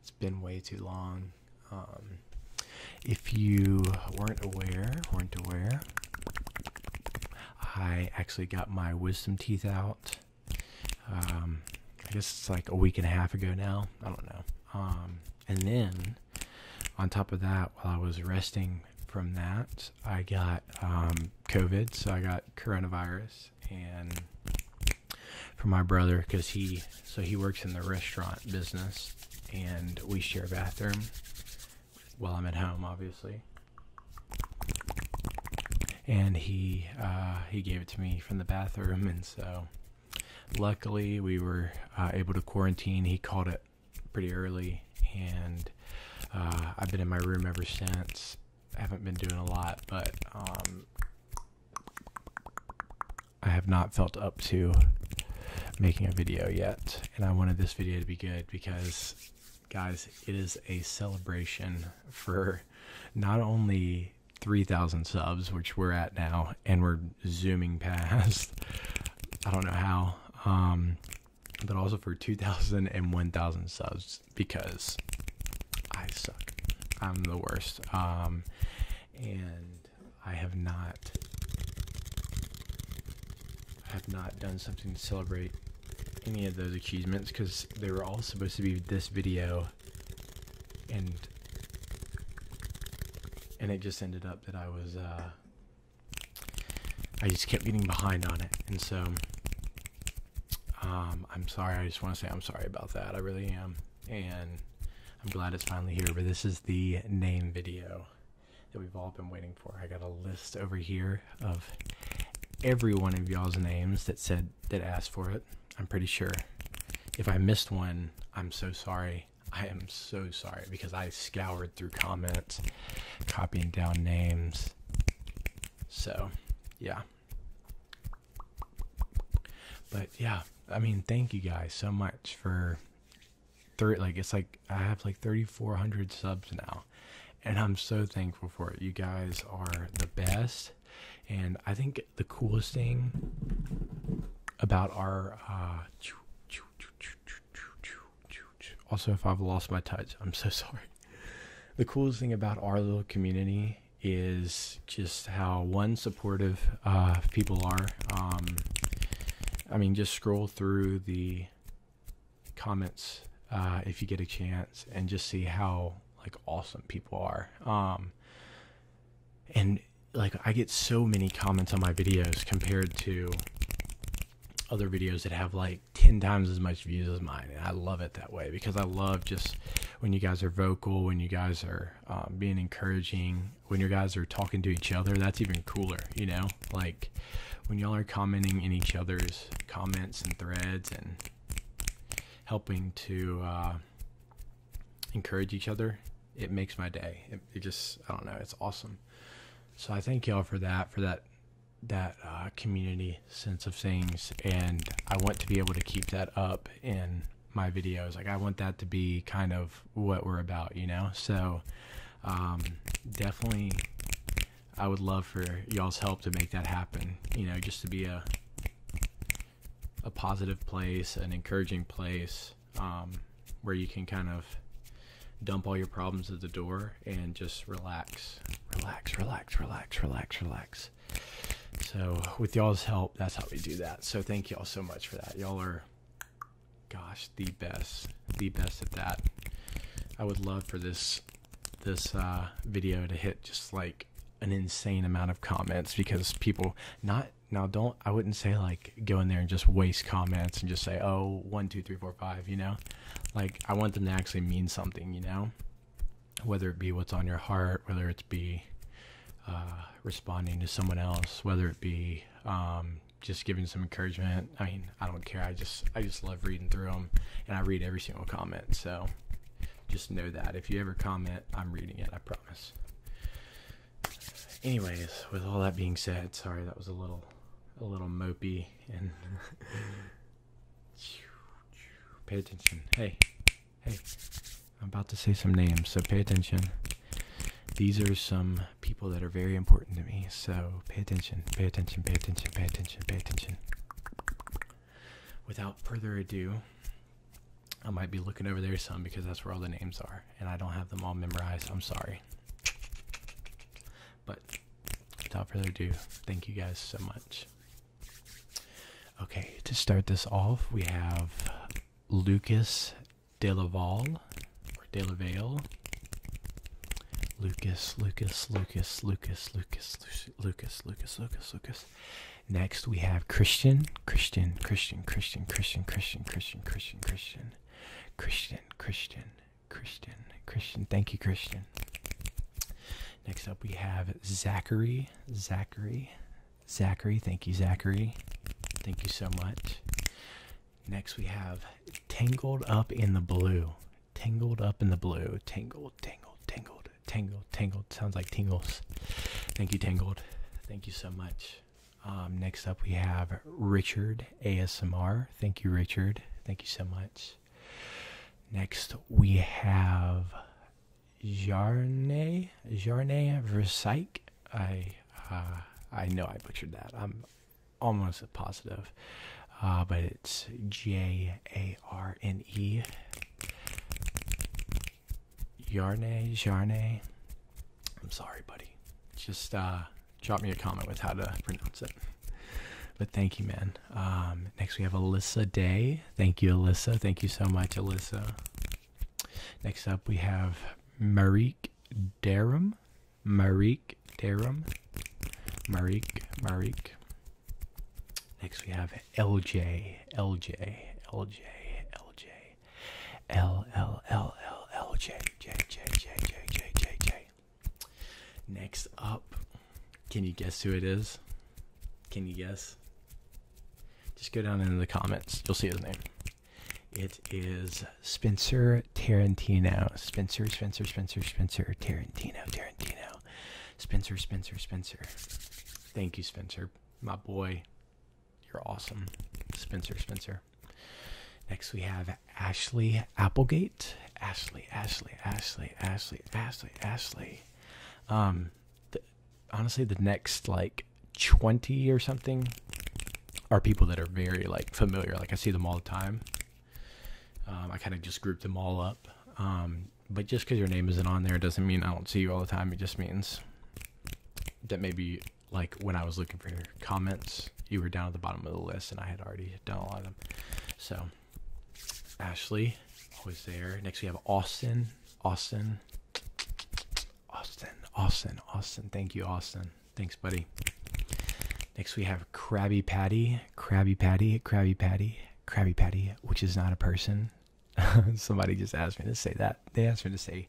it's been way too long. Um, if you weren't aware, weren't aware, I actually got my wisdom teeth out. Um, I guess it's like a week and a half ago now. I don't know. Um, and then on top of that, while I was resting from that, I got COVID, so I got coronavirus and for my brother because he so he works in the restaurant business and we share a bathroom while I'm at home, obviously. And he uh, he gave it to me from the bathroom, and so luckily we were uh, able to quarantine. He called it pretty early, and uh, I've been in my room ever since. I haven't been doing a lot, but um, I have not felt up to making a video yet. And I wanted this video to be good because, guys, it is a celebration for not only 3,000 subs, which we're at now, and we're zooming past, I don't know how, um, but also for 2,000 and 1,000 subs because I suck. I'm the worst. Um, and I have not have not done something to celebrate any of those achievements because they were all supposed to be this video and and it just ended up that I was uh I just kept getting behind on it and so um, I'm sorry. I just want to say I'm sorry about that. I really am. And I'm glad it's finally here. But this is the name video that we've all been waiting for. I got a list over here of every one of y'all's names that said that asked for it. I'm pretty sure. If I missed one, I'm so sorry. I am so sorry because I scoured through comments, copying down names. So, yeah. But yeah, I mean, thank you guys so much for thirty Like it's like I have like 3,400 subs now, and I'm so thankful for it. You guys are the best, and I think the coolest thing about our. Uh, also, if I've lost my touch, I'm so sorry. The coolest thing about our little community is just how one supportive uh, people are. Um, I mean, just scroll through the comments uh, if you get a chance, and just see how like awesome people are. Um, and like I get so many comments on my videos compared to other videos that have like 10 times as much views as mine and I love it that way because I love just when you guys are vocal, when you guys are um, being encouraging, when you guys are talking to each other, that's even cooler, you know? Like when y'all are commenting in each other's comments and threads and helping to uh, encourage each other, it makes my day. It, just, I don't know, it's awesome. So I thank y'all for that, for that, that uh, community sense of things and I want to be able to keep that up in my videos. Like I want that to be kind of what we're about, you know? So um, definitely I would love for y'all's help to make that happen. You know, just to be a a positive place, an encouraging place, um, where you can kind of dump all your problems at the door and just relax. Relax, relax, relax, relax, relax. So with y'all's help, that's how we do that. So thank y'all so much for that. Y'all are, gosh, the best, the best at that. I would love for this this uh, video to hit just like an insane amount of comments because people not now don't I wouldn't say like go in there and just waste comments and just say oh one two three four five you know like I want them to actually mean something you know whether it be what's on your heart, whether it be uh, responding to someone else, whether it be um, just giving some encouragement. I mean, I don't care. I just I just love reading through them, and I read every single comment. So just know that if you ever comment, I'm reading it. I promise. Anyways, with all that being said, sorry that was a little a little mopey and Pay attention. Hey, hey, I'm about to say some names, so pay attention. These are some people that are very important to me, so pay attention, pay attention, pay attention, pay attention, pay attention. Without further ado, I might be looking over there some because that's where all the names are, and I don't have them all memorized. I'm sorry. But without further ado, thank you guys so much. Okay, to start this off, we have Lucas Delaval or Delavale. Lucas, Lucas, Lucas, Lucas, Lucas, Lucas, Lucas, Lucas, Lucas. Next, we have Christian, Christian, Christian, Christian, Christian, Christian, Christian, Christian, Christian, Christian, Christian, Christian, Christian. Thank you, Christian. Next up, we have Zachary. Zachary. Zachary. Thank you, Zachary. Thank you so much. Next, we have Tangled Up in the Blue. Tangled Up in the Blue. Tangled, tangled, tangled, tangled, tangled. Sounds like tingles. Thank you, Tangled. Thank you so much. Um, next up, we have Richard ASMR. Thank you, Richard. Thank you so much. Next, we have Jarnay Jarnay Versailles. I uh, I know I butchered that. I'm almost positive, uh, but it's J A R N E. Jarnay Jarnay. I'm sorry, buddy. Just uh, drop me a comment with how to pronounce it. But thank you, man. Um, next, we have Alyssa Day. Thank you, Alyssa. Thank you so much, Alyssa. Next up, we have Marique Darum. Marique Darum. Marique, Marique. Next, we have LJ, LJ, LJ, LJ, L, L, L, L, L, J, J, J, J, J, J, J, J. Next up, can you guess who it is? Can you guess? Just go down into the comments. You'll see his name. It is Spencer Tarantino. Spencer, Spencer, Spencer, Spencer, Tarantino, Tarantino. Spencer, Spencer, Spencer. Thank you, Spencer. My boy. You're awesome. Spencer, Spencer. Next, we have Ashley Applegate. Ashley, Ashley, Ashley, Ashley, Ashley, Ashley. Um, honestly, the next like 20 or something are people that are very like familiar. Like I see them all the time. Um, I kind of just grouped them all up. Um, but just because your name isn't on there doesn't mean I don't see you all the time. It just means that maybe like when I was looking for your comments, you were down at the bottom of the list and I had already done a lot of them. So um, Ashley, always there. Next we have Austin, Austin, Austin, Austin, Austin. Thank you, Austin. Thanks, buddy. Next we have Krabby Patty, Krabby Patty, Krabby Patty, Krabby Patty, which is not a person. Somebody just asked me to say that. They asked me to say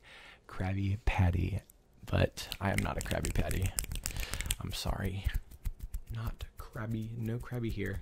Krabby Patty, but I am not a Krabby Patty. I'm sorry. Not Krabby, no Krabby here.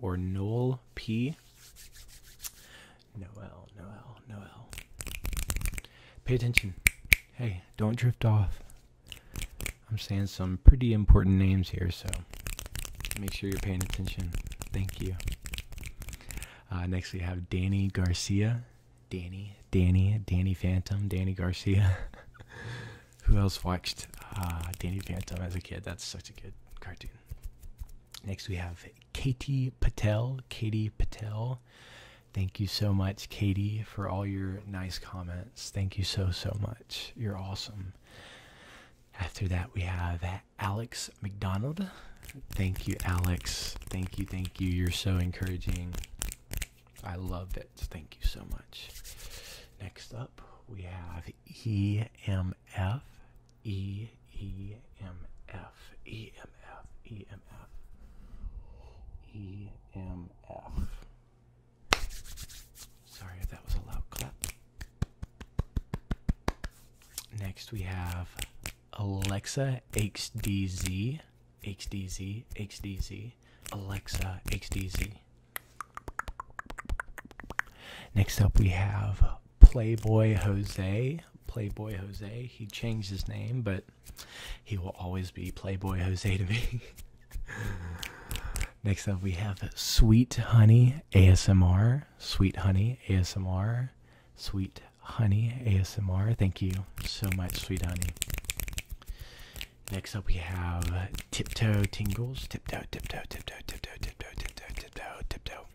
or Noel P. Noel, Noel, Noel. Pay attention. Hey, don't drift off. I'm saying some pretty important names here, so make sure you're paying attention. Thank you. Uh, next, we have Danny Garcia. Danny, Danny, Danny Phantom, Danny Garcia. Who else watched uh, Danny Phantom as a kid? That's such a good cartoon. Next, we have Katie Patel. Katie Patel, thank you so much, Katie, for all your nice comments. Thank you so, so much. You're awesome. After that, we have Alex McDonald. Thank you, Alex. Thank you, thank you. You're so encouraging. I love it. Thank you so much. Next up, we have EM EMF, Sorry if that was a loud clap. Next we have Alexa XDZ, XDZ, XDZ, Alexa XDZ. Next up, we have Playboy Jose. Playboy Jose. He changed his name, but he will always be Playboy Jose to me. Next up, we have Sweet Honey ASMR. Sweet Honey ASMR. Sweet Honey ASMR. Thank you so much, Sweet Honey. Next up, we have Tiptoe Tingles. Tiptoe, tiptoe, tiptoe, tiptoe, tiptoe, tiptoe, tiptoe, tiptoe, toe,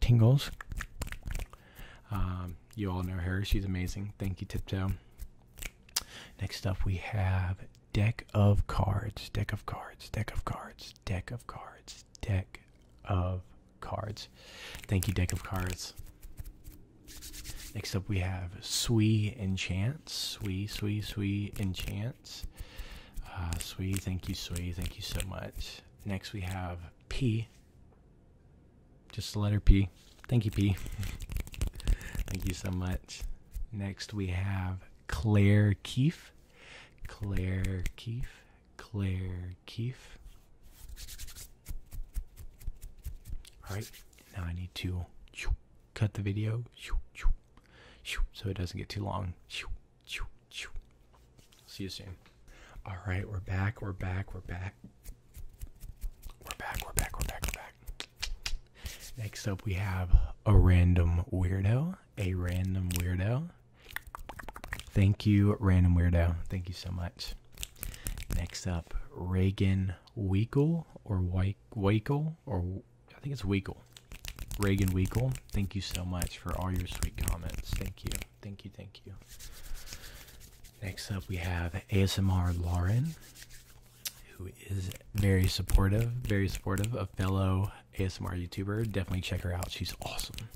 Tingles. Um, you all know her. She's amazing. Thank you, Tiptoe. Next up, we have Deck of Cards. Deck of Cards. Deck of Cards. Deck of Cards. Deck of Cards. Thank you, Deck of Cards. Next up, we have Swee Enchant. Swee, Swee, Swee Enchant. Yes. Uh, Sweet, thank you, Sweet. Thank you so much. Next, we have P. Just the letter P. Thank you, P. thank you so much. Next, we have Claire Keefe. Claire Keefe. Claire Keefe. All right, now I need to cut the video so it doesn't get too long. See you soon. All right, we're back. We're back. We're back. We're back. We're back. We're back. We're back. Next up, we have a random weirdo. A random weirdo. Thank you, random weirdo. Thank you so much. Next up, Reagan Weigel or White Weigel or I think it's Weekle. Reagan Weekle, thank you so much for all your sweet comments. Thank you. Thank you. Thank you. Next up, we have ASMR Lauren, who is very supportive, very supportive, a fellow ASMR YouTuber. Definitely check her out. She's awesome.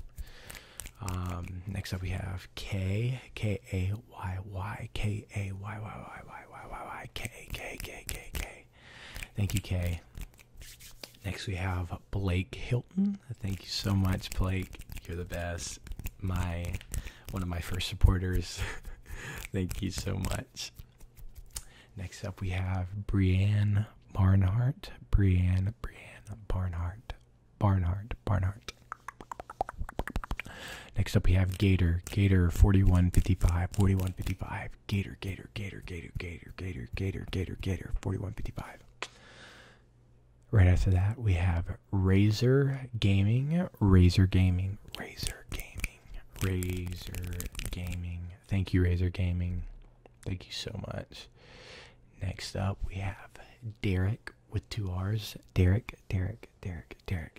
Um, next up, we have K, K A Y Y, K A Y Y Y Y Y Y Y K K K K K. Thank you, Kay. Next, we have Blake Hilton. Thank you so much, Blake. You're the best. My one of my first supporters. Thank you so much. Next up, we have Brianne Barnhart. Brianne, Brianne Barnhart, Barnhart, Barnhart. Next up, we have Gator. Gator 4155, 4155. Gator, Gator, Gator, Gator, Gator, Gator, Gator, Gator, Gator, 4155. Right after that, we have Razer Gaming, Razer Gaming, Razer Gaming, Razer Gaming. Thank you, Razer Gaming. Thank you so much. Next up, we have Derek with two R's. Derek, Derek, Derek, Derek,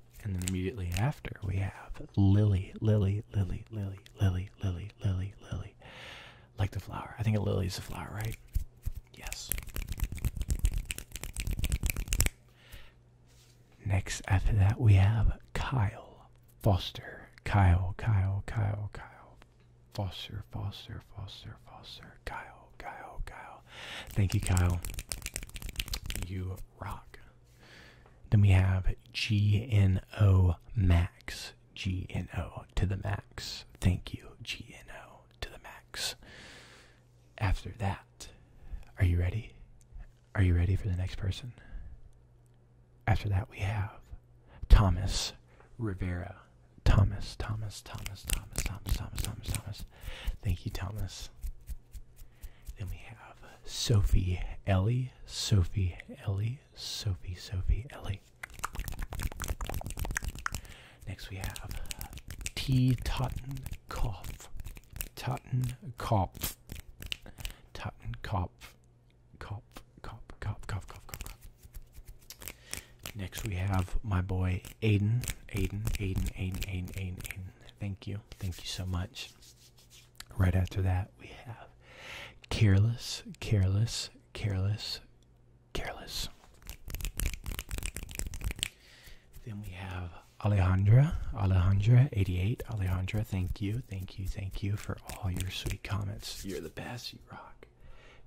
And then immediately after, we have Lily, Lily, Lily, Lily, Lily, Lily, Lily, Lily. Like the flower. I think a lily is a flower, right? Yes. Next, after that, we have Kyle Foster. Kyle, Kyle, Kyle, Kyle. Foster, Foster, Foster, Foster. Kyle, Kyle, Kyle. Thank you, Kyle. You rock. Then we have GNO Max. GNO to the max. Thank you, GNO to the max. After that, are you ready? Are you ready for the next person? After that, we have Thomas Rivera. Thomas, Thomas, Thomas, Thomas, Thomas, Thomas, Thomas, Thomas. Thank you, Thomas. Then we have Sophie Ellie, Sophie Ellie, Sophie, Sophie Ellie. Next we have T. Totten Kopf, Totten Kopf, Totten Kopf, Kopf, Kopf, Kopf, Kopf, Kopf, Kopf. Next we have my boy Aiden, Aiden, Aiden, Aiden, Aiden, Aiden. Thank you, thank you so much. Right after that, we have careless, careless, careless, careless. Then we have Alejandra, Alejandra, 88. Alejandra, thank you, thank you, thank you for all your sweet comments. You're the best. You rock.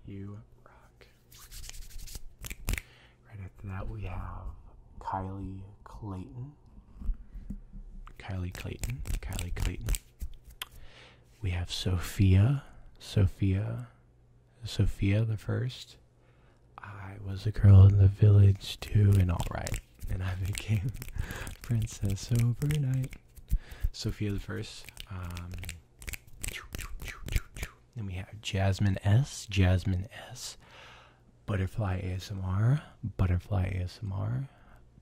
You rock. Right after that, we have Kylie Clayton. Kylie Clayton. Kylie Clayton. We have Sophia. Sophia. Sophia the first. I was a girl in the village too, and alright. And I became princess overnight. Sophia the first. Um, then we have Jasmine S. Jasmine S. Butterfly ASMR, Butterfly ASMR,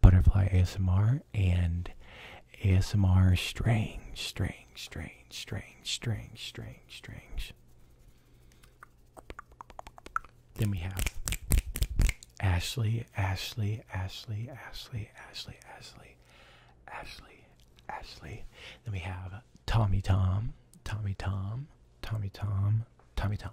Butterfly ASMR, and ASMR Strange, Strange, Strange, Strange, Strange, Strange, Strange. Then we have Ashley, Ashley, Ashley, Ashley, Ashley, Ashley, Ashley, Ashley. Then we have Tommy Tom, Tommy Tom, Tommy Tom, Tommy Tom.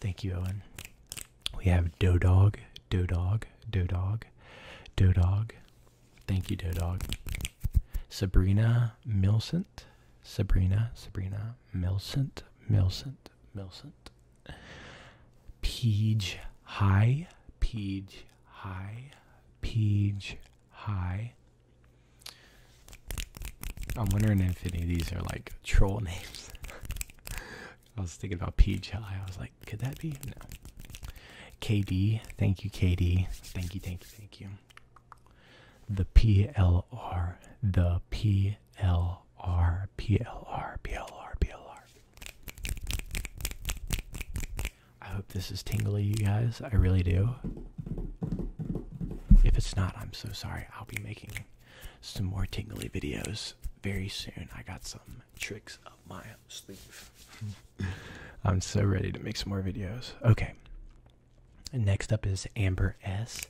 Thank you, Owen. We have Dog, Dog, Dodog, Dog, Dodog, Dog. Thank you, Dog. Sabrina Milcent, Sabrina, Sabrina Milcent, Milcent, Milcent. Peach High, Peach High, Peach High. I'm wondering if any of these are like troll names. I was thinking about Peach I was like, could that be? No. KD. Thank you, KD. Thank you, thank you, thank you. The PLR. The PLR. PLR. PLR. PLR. I hope this is tingly, you guys. I really do. If it's not, I'm so sorry. I'll be making some more tingly videos very soon. I got some tricks up my sleeve. I'm so ready to make some more videos. Okay. next up is Amber S.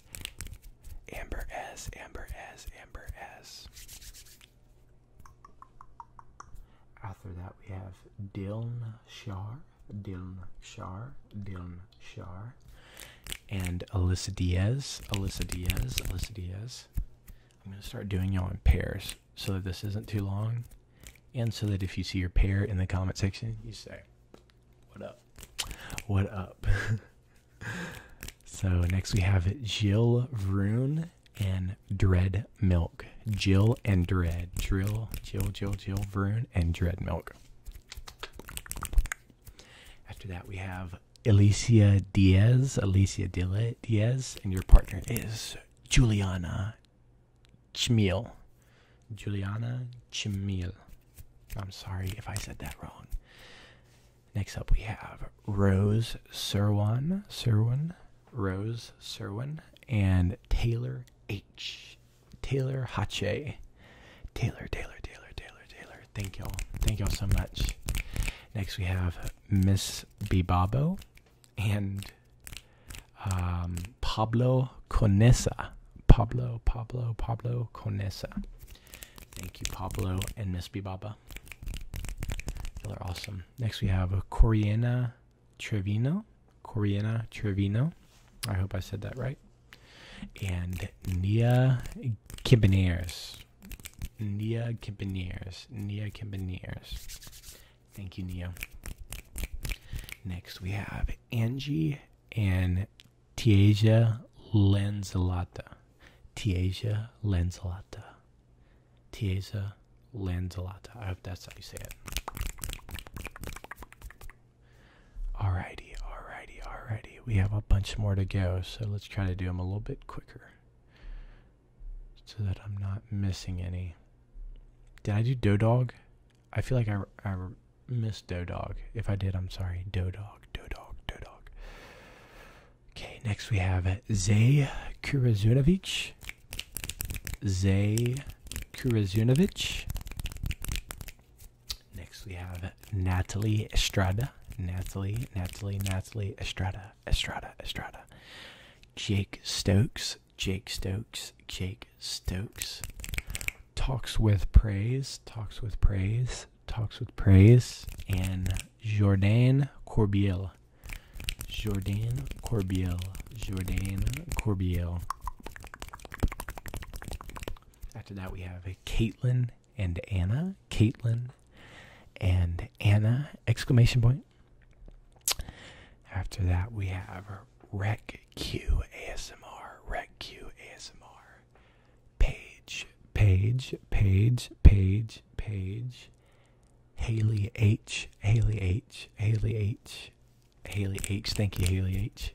Amber S. Amber S. Amber S. After that, we have Diln Shar. Diln Shar. Diln Shar and Alyssa Diaz. Alyssa Diaz. Alyssa Diaz. I'm going to start doing y'all in pairs so that this isn't too long and so that if you see your pair in the comment section, you say, What up? What up? so next we have Jill Vroon and Dread Milk. Jill and Dread. Drill, Jill, Jill, Jill Vroon, and Dread Milk. After that, we have Alicia Diaz. Alicia Diaz, and your partner is Juliana Chmiel. Juliana Chmiel. I'm sorry if I said that wrong. Next up, we have Rose Serwin, Serwin, Rose Serwin, and Taylor H. Taylor Hache. Taylor, Taylor, Taylor, Taylor, Taylor. Thank y'all. Thank y'all so much. Next we have Miss Bibabo and um, Pablo Conesa. Pablo, Pablo, Pablo Conesa. Thank you, Pablo and Miss Bibaba. you are awesome. Next we have Coriana Trevino. Coriana Trevino. I hope I said that right and Nia Kibaneers. Nia Kibaneers. Nia Kibaneers. Thank you, Nia. Next, we have Angie and Tiaja Lenzalata. Tiaja Lenzalata. Tiaja Lanzalata. I hope that's how you say it. Alrighty, alrighty, alrighty. We have a bunch more to go, so let's try to do them a little bit quicker so that I'm not missing any. Did I do Doe Dog? I feel like I, missed Doe Dog. If I did, I'm sorry. Doe Dog, Doe Dog, Doe Dog. Okay, next we have Zay Kurazunovich. Zay Kurazunovich. Next we have Natalie Estrada. Natalie, Natalie, Natalie Estrada, Estrada, Estrada. Jake Stokes, Jake Stokes, Jake Stokes. Talks with praise, talks with praise, talks with praise. And Jordan Corbiel. Jordan Corbiel. Jordan Corbiel. After that, we have a Caitlin and Anna. Caitlin and Anna! Exclamation point. After that, we have Rec Q ASMR. Rec Q ASMR. Page, page, page, page, page. Haley H. Haley H. Haley H. Haley H. Thank you, Haley H.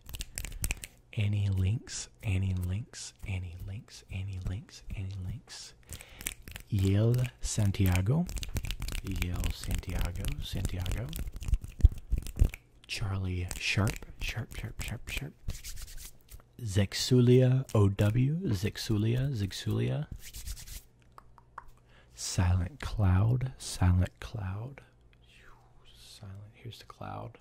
Annie Links, Annie Links, Annie Links, Annie Links, Annie Links. Yale Santiago, Yale Santiago, Santiago. Charlie Sharp, Sharp, Sharp, Sharp, Sharp. Zexulia OW, Zexulia, Zexulia. Silent Cloud, Silent Cloud. Silent, here's the cloud.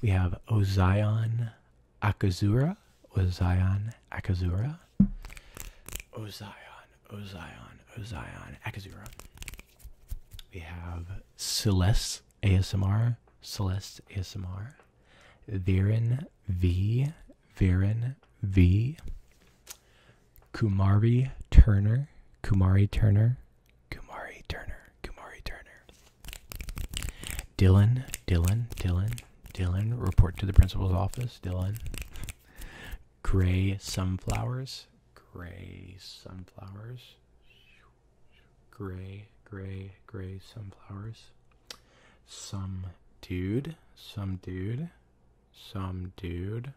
we have Ozion Akazura. Ozion Akazura. Ozion, Ozion, Ozion Akazura. We have Celeste ASMR. Celeste ASMR. Viren V. Viren V. Kumari Turner. Kumari Turner. Kumari Turner, Kumari Turner. Dylan, Dylan, Dylan, Dylan, report to the principal's office, Dylan. Gray sunflowers, gray sunflowers, gray, gray, gray sunflowers. Some dude, some dude, some dude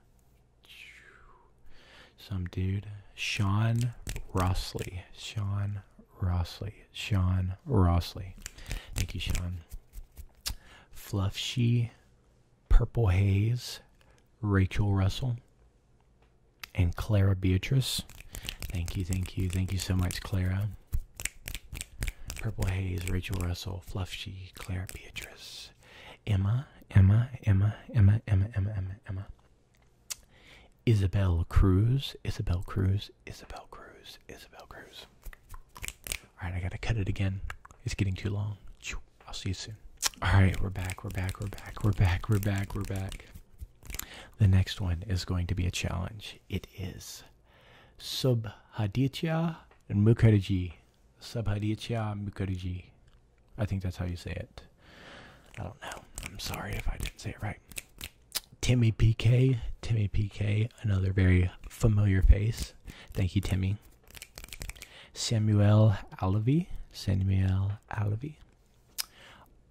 some dude, Sean Rossley. Sean Rossley. Sean Rossley. Thank you, Sean. Fluffshy, Purple Haze, Rachel Russell, and Clara Beatrice. Thank you, thank you, thank you so much, Clara. Purple Haze, Rachel Russell, Fluffshy, Clara Beatrice, Emma, Emma, Emma, Emma, Emma, Emma, Emma, Isabel Cruz, Isabel Cruz, Isabel Cruz, Isabel Cruz. All right, I gotta cut it again. It's getting too long. I'll see you soon. All right, we're back, we're back, we're back, we're back, we're back, we're back. The next one is going to be a challenge. It is Subhaditya and Mukherjee. Subhaditya Mukherjee. I think that's how you say it. I don't know. I'm sorry if I didn't say it right. Timmy PK, Timmy PK, another very familiar face. Thank you, Timmy. Samuel Alavi, Samuel Alavi,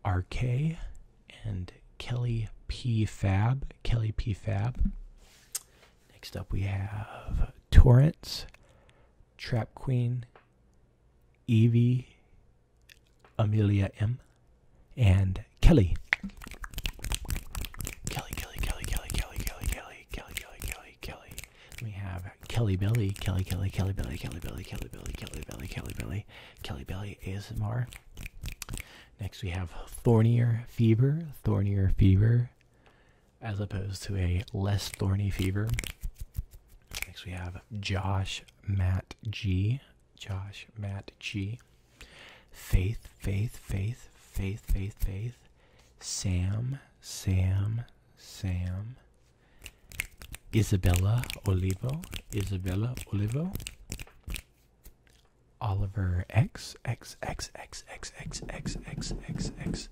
RK, and Kelly P Fab, Kelly P Fab. Next up, we have Torrance, Trap Queen, Evie, Amelia M. And Kelly. Kelly, Kelly, Kelly, Kelly, Kelly, Kelly, Kelly, Kelly, Kelly, Kelly, Kelly. We have Kelly Billy, Kelly, Kelly, Kelly Billy, Kelly Billy, Kelly Billy, Kelly Billy, Kelly Billy, Kelly Billy ASMR. Next we have Thornier Fever, Thornier Fever, as opposed to a less thorny fever. Next we have Josh Matt G. Josh Matt G. Faith, Faith, Faith, Faith, Faith, Faith. Sam, Sam, Sam. Isabella Olivo, Isabella Olivo. Oliver X, X, X, X, X, X, X, X, X, X.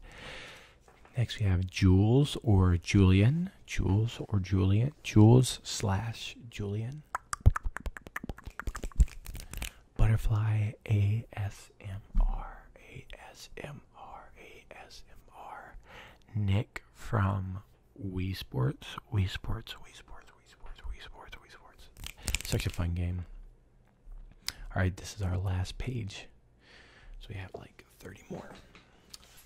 Next we have Jules or Julian. Jules or Julian. Jules slash Julian. Butterfly ASMR. Nick from Wii Sports. Wii Sports. Wii Sports. Wii Sports. Wii Sports. Wii Sports. Such a fun game. All right, this is our last page. So we have like 30 more.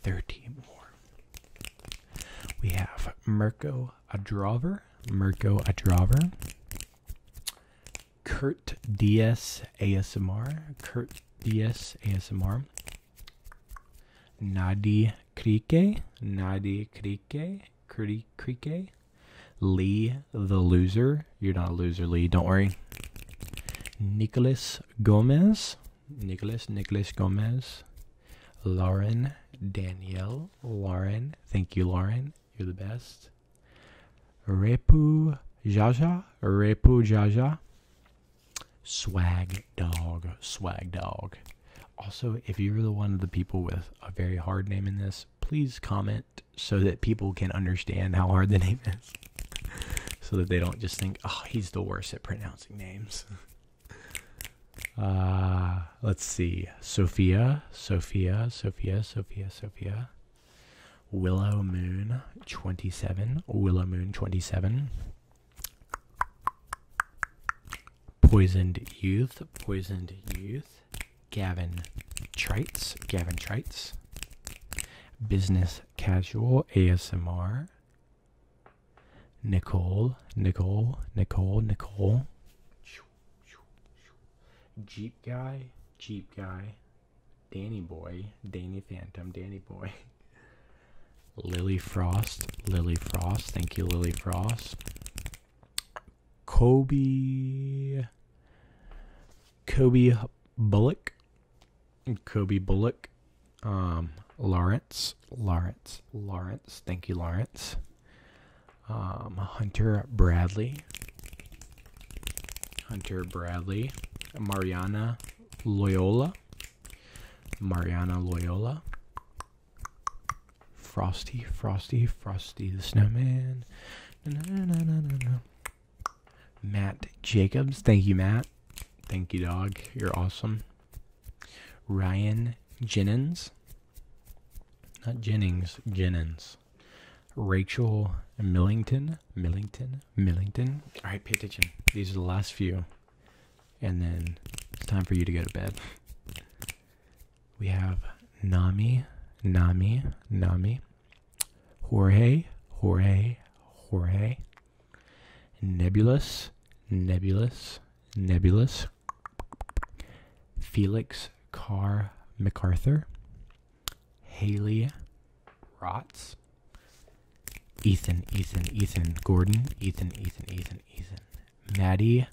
30 more. We have Mirko Adraver, Mirko Adraver, Kurt DS ASMR, Kurt DS ASMR, Nadi Krike, Nadi Krike, Kri Krike, Lee the Loser, you're not a loser, Lee, don't worry. Nicholas Gomez, Nicholas, Nicholas Gomez, Lauren, Danielle, Lauren. Thank you, Lauren. You're the best. Repu Jaja, Repu Jaja. Swag dog, swag dog. Also, if you're the one of the people with a very hard name in this, please comment so that people can understand how hard the name is. so that they don't just think, oh, he's the worst at pronouncing names. Uh, let's see. Sophia, Sophia, Sophia, Sophia, Sophia. Willow Moon 27, Willow Moon 27. Poisoned Youth, Poisoned Youth. Gavin Trites, Gavin Trites. Business Casual ASMR, Nicole, Nicole, Nicole, Nicole, Jeep Guy, Jeep Guy, Danny Boy, Danny Phantom, Danny Boy, Lily Frost, Lily Frost, thank you, Lily Frost, Kobe, Kobe Bullock, Kobe Bullock, um, Lawrence, Lawrence, Lawrence. Thank you, Lawrence. Um, Hunter Bradley, Hunter Bradley, Mariana Loyola, Mariana Loyola, Frosty, Frosty, Frosty the Snowman. Matt Jacobs. Thank you, Matt. Thank you, dog. You're awesome. Ryan Jennings. Not Jennings, Jennings. Rachel Millington. Millington. Millington. All right, pay attention. These are the last few. And then it's time for you to go to bed. We have Nami. Nami. Nami. Jorge, Jorge, Jorge. Nebulous, Nebulous, Nebulous. Felix Carr MacArthur. Haley Rotz. Ethan, Ethan, Ethan Gordon. Ethan, Ethan, Ethan, Ethan. Maddie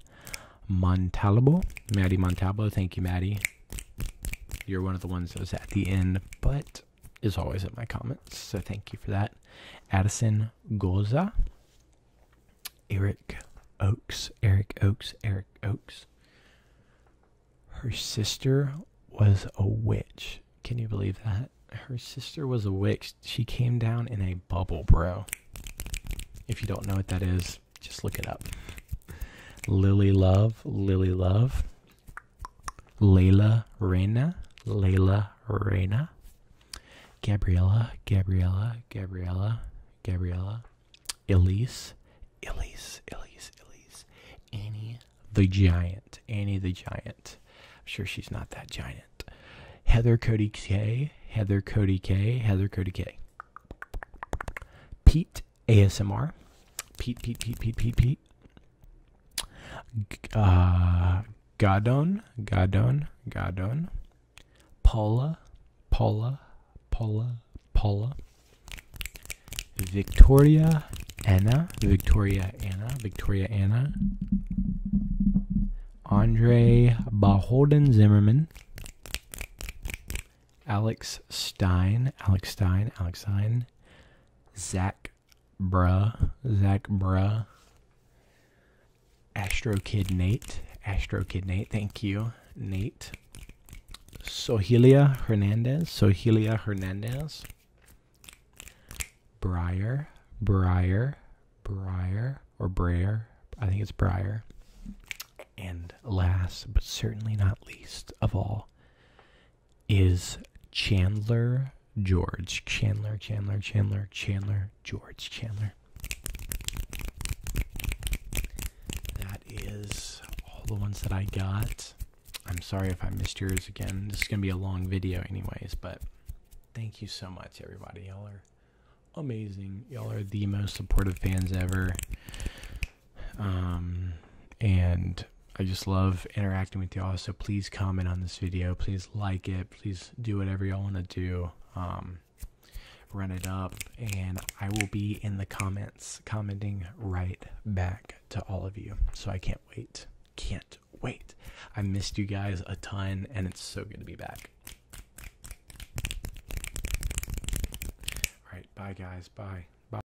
Montalbo. Maddie Montalbo. Thank you, Maddie. You're one of the ones that was at the end, but is always in my comments. So thank you for that. Addison Goza, Eric Oaks, Eric Oaks, Eric Oaks. Her sister was a witch. Can you believe that? Her sister was a witch. She came down in a bubble, bro. If you don't know what that is, just look it up. Lily Love, Lily Love. Layla Reina, Layla Reina, Gabriella, Gabriella, Gabriella, Gabriella, Elise, Elise, Elise, Elise, Annie the Giant, Annie the Giant. I'm sure she's not that giant. Heather Cody K, Heather Cody K, Heather Cody K. Pete ASMR, Pete, Pete, Pete, Pete, Pete, Pete, uh, Gadon, Gadon, Gadon, Paula, Paula, Paula, Paula, Victoria, Anna, Victoria, Anna, Victoria, Anna, Andre Beholden Zimmerman, Alex Stein, Alex Stein, Alex Stein, Zach Bruh, Zach Bruh, Astro Kid Nate, Astro Kid Nate, thank you, Nate. Sohelia Hernandez, Sohelia Hernandez, Briar, Briar, Briar, or Brayer, I think it's Briar. And last but certainly not least of all, is Chandler George. Chandler, Chandler, Chandler, Chandler, George, Chandler. That is all the ones that I got. I'm sorry if I missed yours again. This is going to be a long video, anyways, but thank you so much, everybody. Y'all are amazing. Y'all are the most supportive fans ever. Um, and I just love interacting with y'all. So please comment on this video. Please like it. Please do whatever y'all want to do. Um, run it up. And I will be in the comments commenting right back to all of you. So I can't wait. Can't wait. I missed you guys a ton, and it's so good to be back. All right. Bye, guys. Bye. Bye.